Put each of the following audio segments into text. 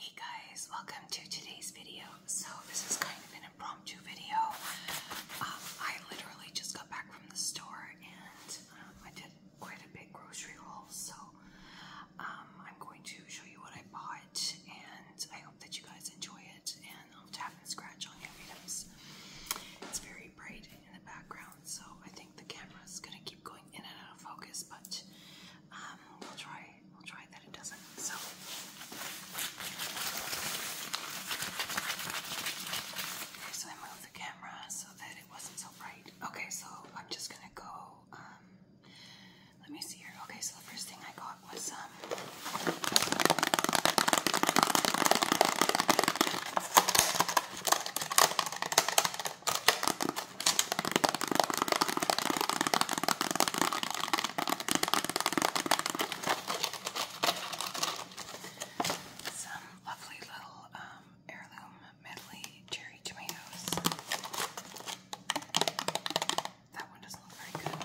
Hey guys, welcome to today's video. So this is kind of an impromptu video. Um, I literally just got back from the store and um, I did quite a big grocery haul, so um, I'm going to show you what I bought, and I hope that you guys enjoy it. And I'll tap and scratch on your items. It's very bright in the background, so I think the camera's gonna keep going in and out of focus, but um, we'll try. We'll try that it doesn't. So. so I moved the camera so that wasn't so bright. Okay, so I'm just gonna go. Um, let me see here. Okay, so the first thing I got was um, some lovely little um, heirloom medley cherry tomatoes. That one doesn't look very good.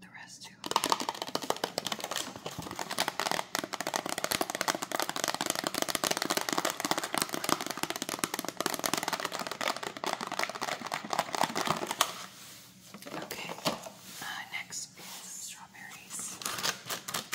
The rest Okay, uh, next is strawberries.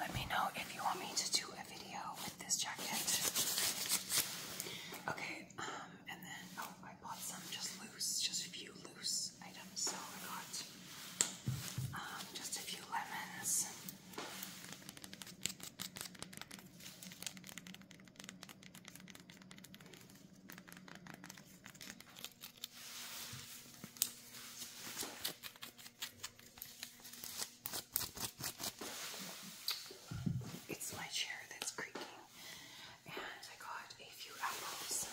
Let me know if you want me to do a video with this jacket. Okay, um, and then, oh, I bought some just loose, just a few loose items. So I got um, just a few lemons. It's my chair that's creaking, and I got a few apples.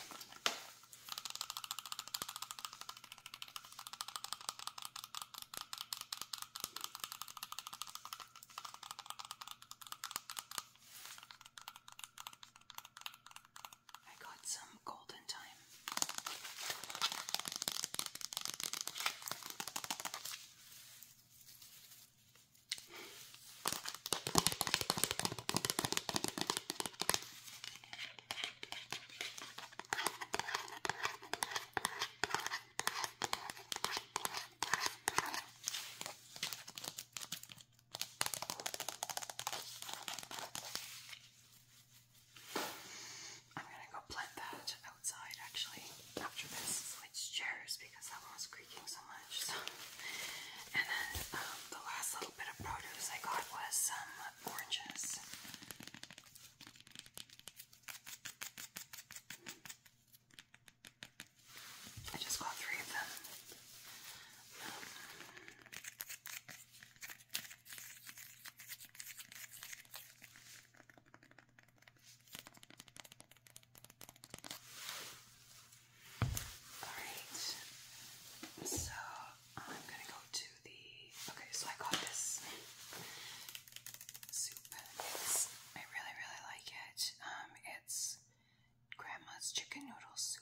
I got some golden time. I'm gonna go plant that outside actually after this. Switch chairs because that one was creaking so much. So. And then um, the last little bit of produce I got was some oranges. I just got three of them. Alright, so I'm gonna go to the. Okay, so I got this I really, really like it. Um, it's grandma's chicken noodle soup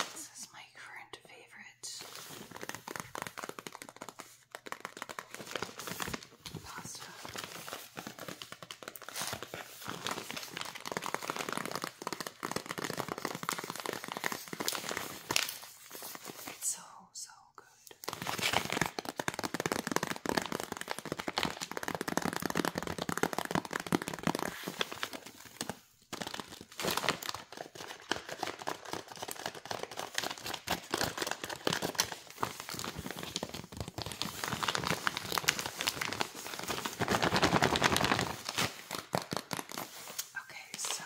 This is my current favorite pasta. It's so, so good. Okay, so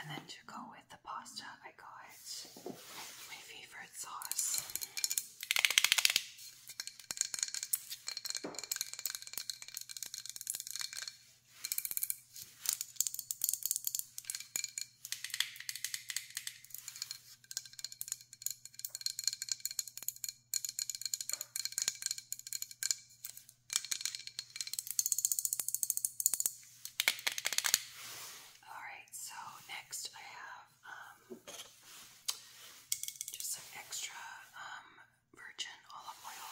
and then to go with the pasta, I got my favorite sauce. All right, so next I have um, just some extra um, virgin olive oil.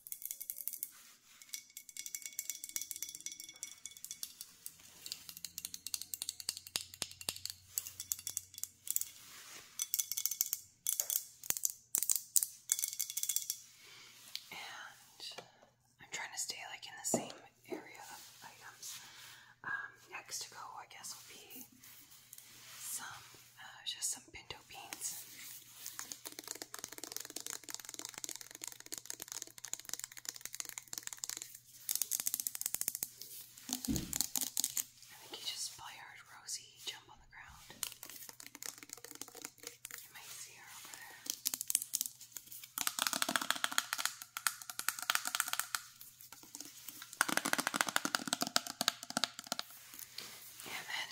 And I'm trying to stay like in the same area of items. Um, next to go, I guess, will be some, uh, just some pinto beans. I think you just probably heard Rosie jump on the ground. You might see her over there. And then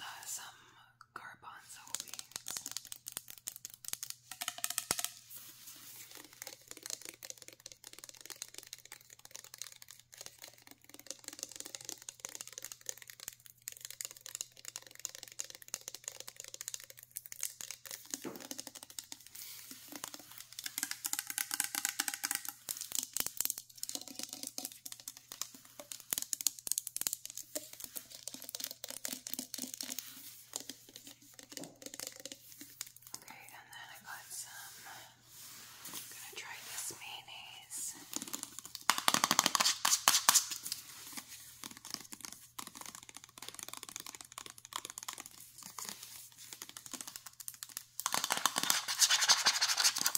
uh, some garbanzo beans. Okay, and then I got some. I'm gonna try this mayonnaise.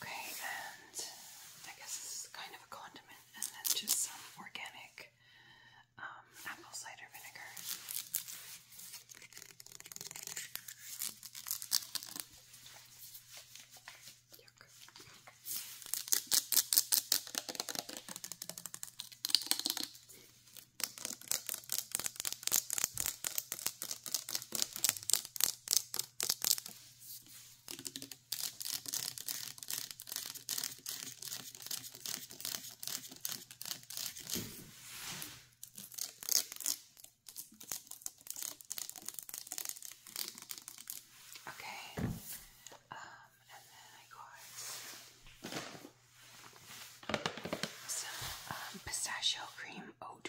Okay, and I guess this is kind of a condiment, and then just some organic um, apple cider vinegar. Okay, um, and then I got some um, pistachio cream, oat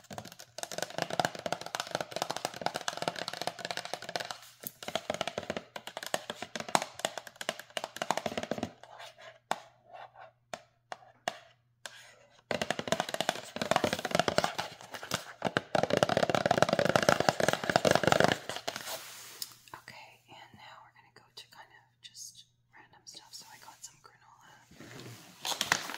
Okay, and now we're going to go to kind of just random stuff. So I got some granola.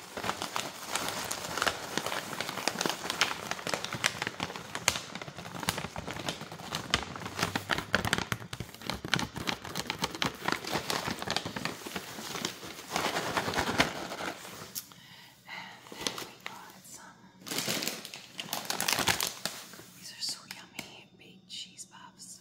And then we got some. These are so yummy baked cheese puffs.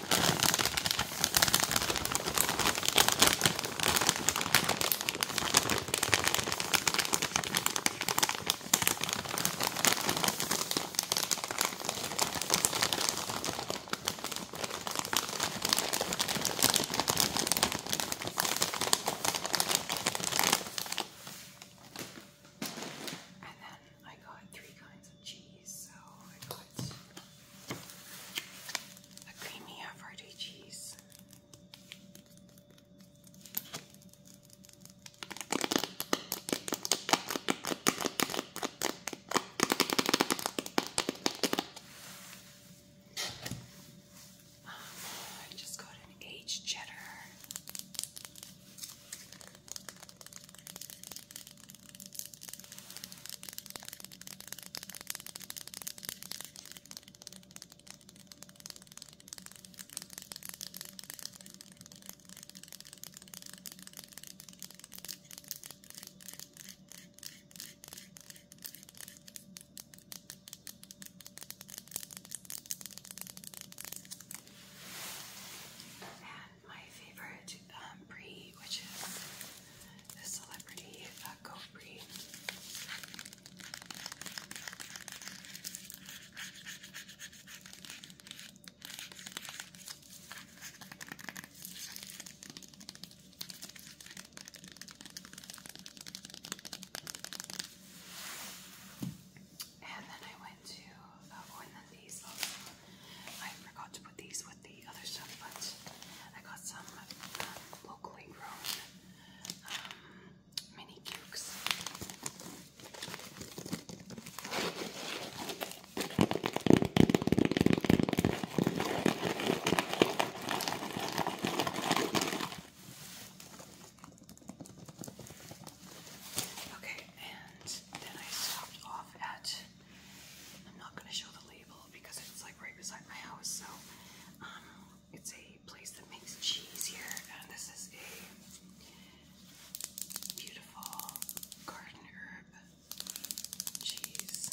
And then I got three kinds of cheese, so a creamy Havarti cheese. Um, I just got an aged cheddar. And my favorite um, which is the celebrity uh, goat And then I went to uh, one I forgot to put these with the other stuff, but I got some uh, locally grown um, mini cukes. Okay, and then I stopped off at I'm not going to show the label because it's like right beside my house. So um, it's a place that makes cheese here, and this is a beautiful garden herb cheese,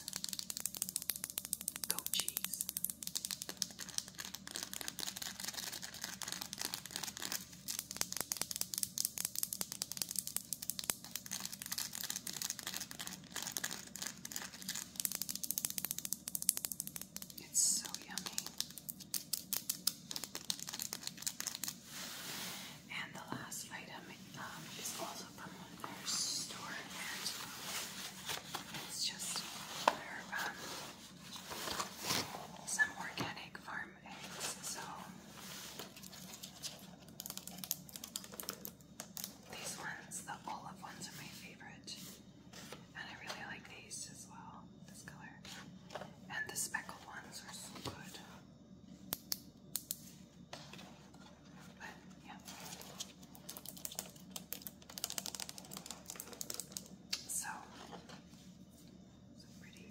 goat cheese. It's so yummy. And the last item um, is also from our store, and it's just um, some organic farm eggs. So these ones, the olive ones, are my favorite. And I really like these as well, this color. And the speckled ones are so good. But, yeah. So, so pretty.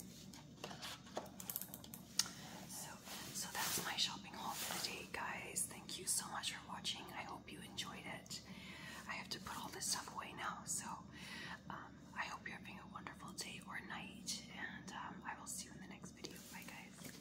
So, so that's my shopping haul for the day, guys. Thank you so much for watching. I hope you enjoyed it. I have to put all this stuff away now, so um, I hope you're having a wonderful day or night, and um, I will see you in the next video. Bye, guys.